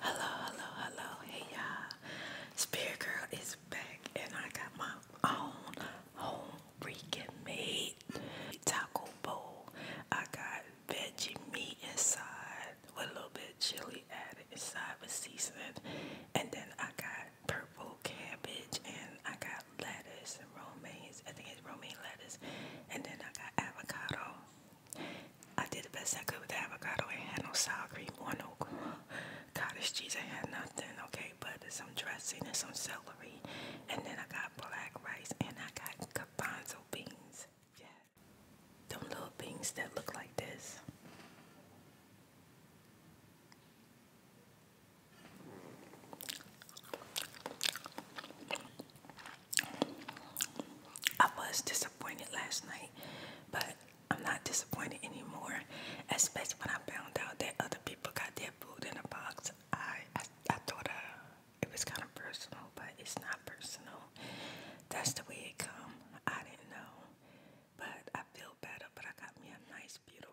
Hello, hello, hello. Hey y'all. Spirit Girl is back and I got my own home freaking made taco bowl. I got veggie meat inside with a little bit of chili added inside with seasoning. And then I got purple cabbage and I got lettuce and romaine. I think it's romaine lettuce. And then I got avocado I did the best I could with the avocado. I had no sour cream or no cottage cheese. I had nothing, okay, but some dressing and some celery. And then I got black rice and I got garbanzo beans. Yeah. Them little beans that look like this. I was disappointed last night, but I'm not disappointed anymore, especially when I found out that other people got their food in a box. I, I, thought uh, it was kind of personal, but it's not personal. That's the way it comes. I didn't know, but I feel better, but I got me a nice, beautiful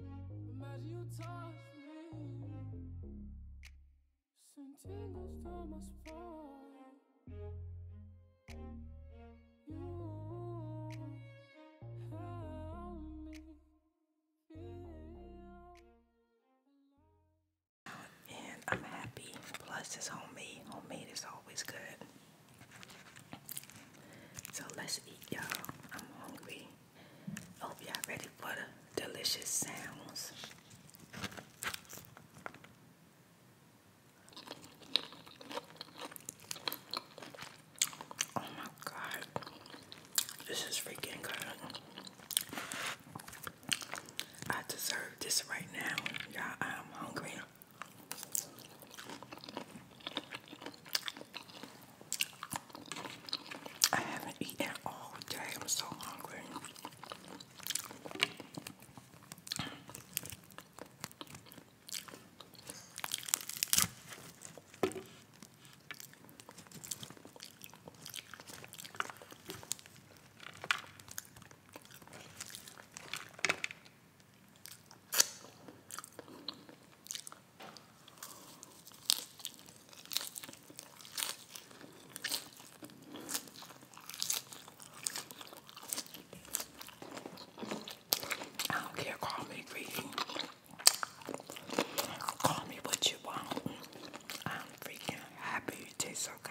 Imagine you touch me. And I'm happy. Plus, it's homemade. Homemade is always good. So let's eat, y'all. I'm hungry. Hope y'all ready for the delicious sounds. Oh my god, this is freaking good. I deserve this right now. Y'all, I'm hungry. I haven't eaten all day. I'm so hungry. I don't care, call me greedy. Call me what you want. I'm freaking happy it tastes so good.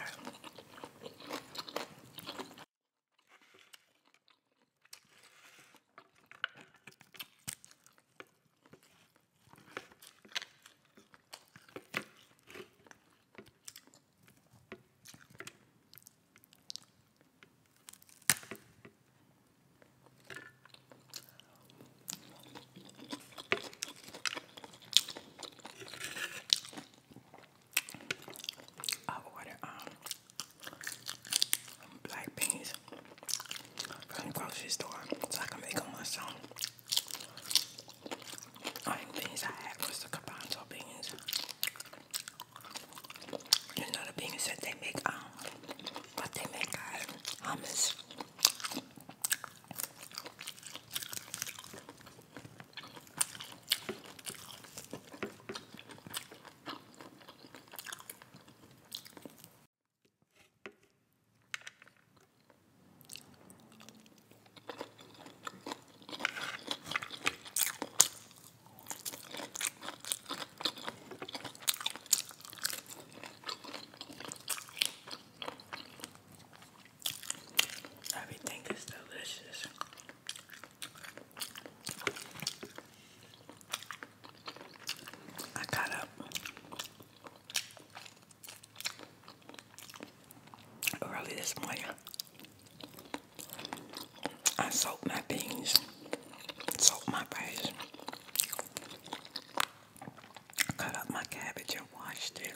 I ordered um black beans these from the grocery store so I can make them myself. Only beans I had was the garbanzo beans. You know the beans that they make, um, but they make uh, hummus. Everything is delicious. I got up Early this morning, I soaked my beans, soaked my rice, cut up my cabbage and washed it.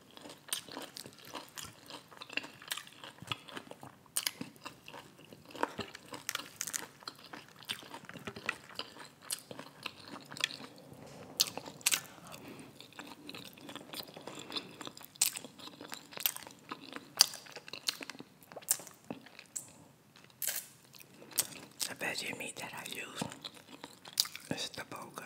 The veggie meat that I use is the boga.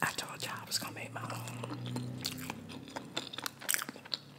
I told y'all I was gonna make my own.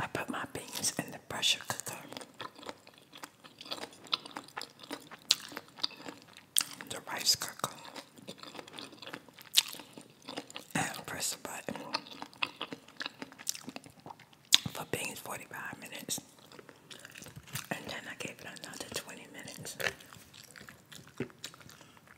I put my beans in the pressure cooker. The rice cooker. And press the button for beans 45 minutes. And then I gave it another 20 minutes.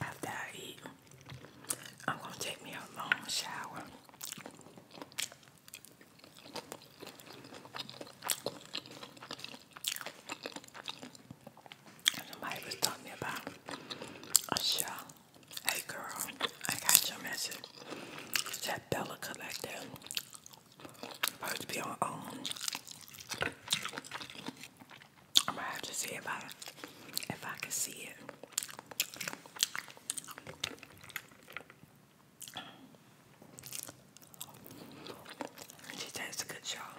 After I eat, I'm gonna take me a long shower. Somebody was telling about a Hey girl, I got your message. That Bella Collector. Supposed to be on own. Um, I'm gonna have to see if I if I can see it. She does a good job.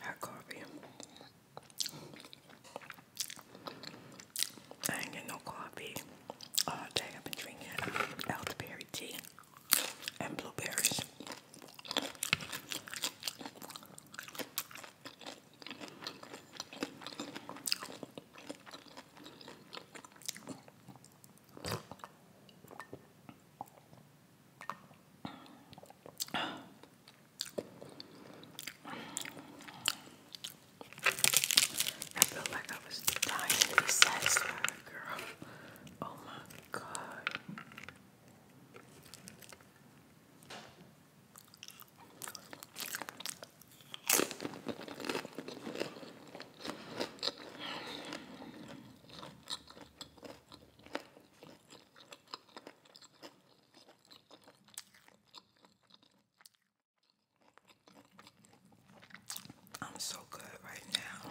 Hot coffee. I ain't get no coffee all I've been drinking elderberry tea and blueberries. I feel like I was dying to be satisfied, girl. Oh my god. I'm so good right now.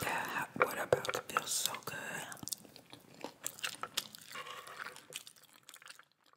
That hot water about to feel so good.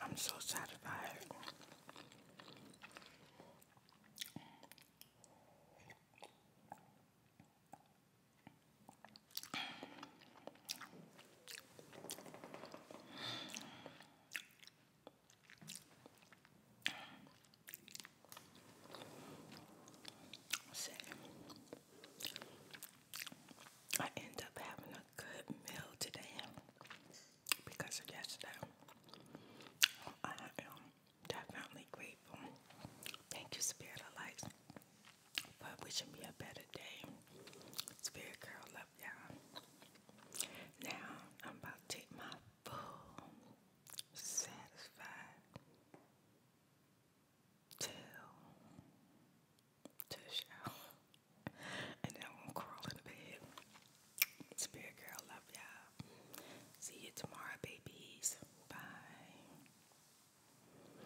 I'm so satisfied. I end up having a good meal today because of yesterday. I am definitely grateful. Thank you, Spirit of Light, for wishing me a better day. Spirit Girl, love you Now, I'm about to take my full, satisfied, to to shower, and then I'm gonna crawl in the bed. Spirit girl, love y'all. See you tomorrow, babies. Bye.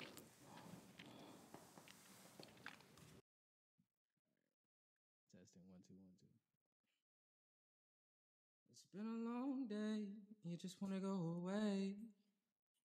Testing one two one two. It's been a long day. You just wanna go away.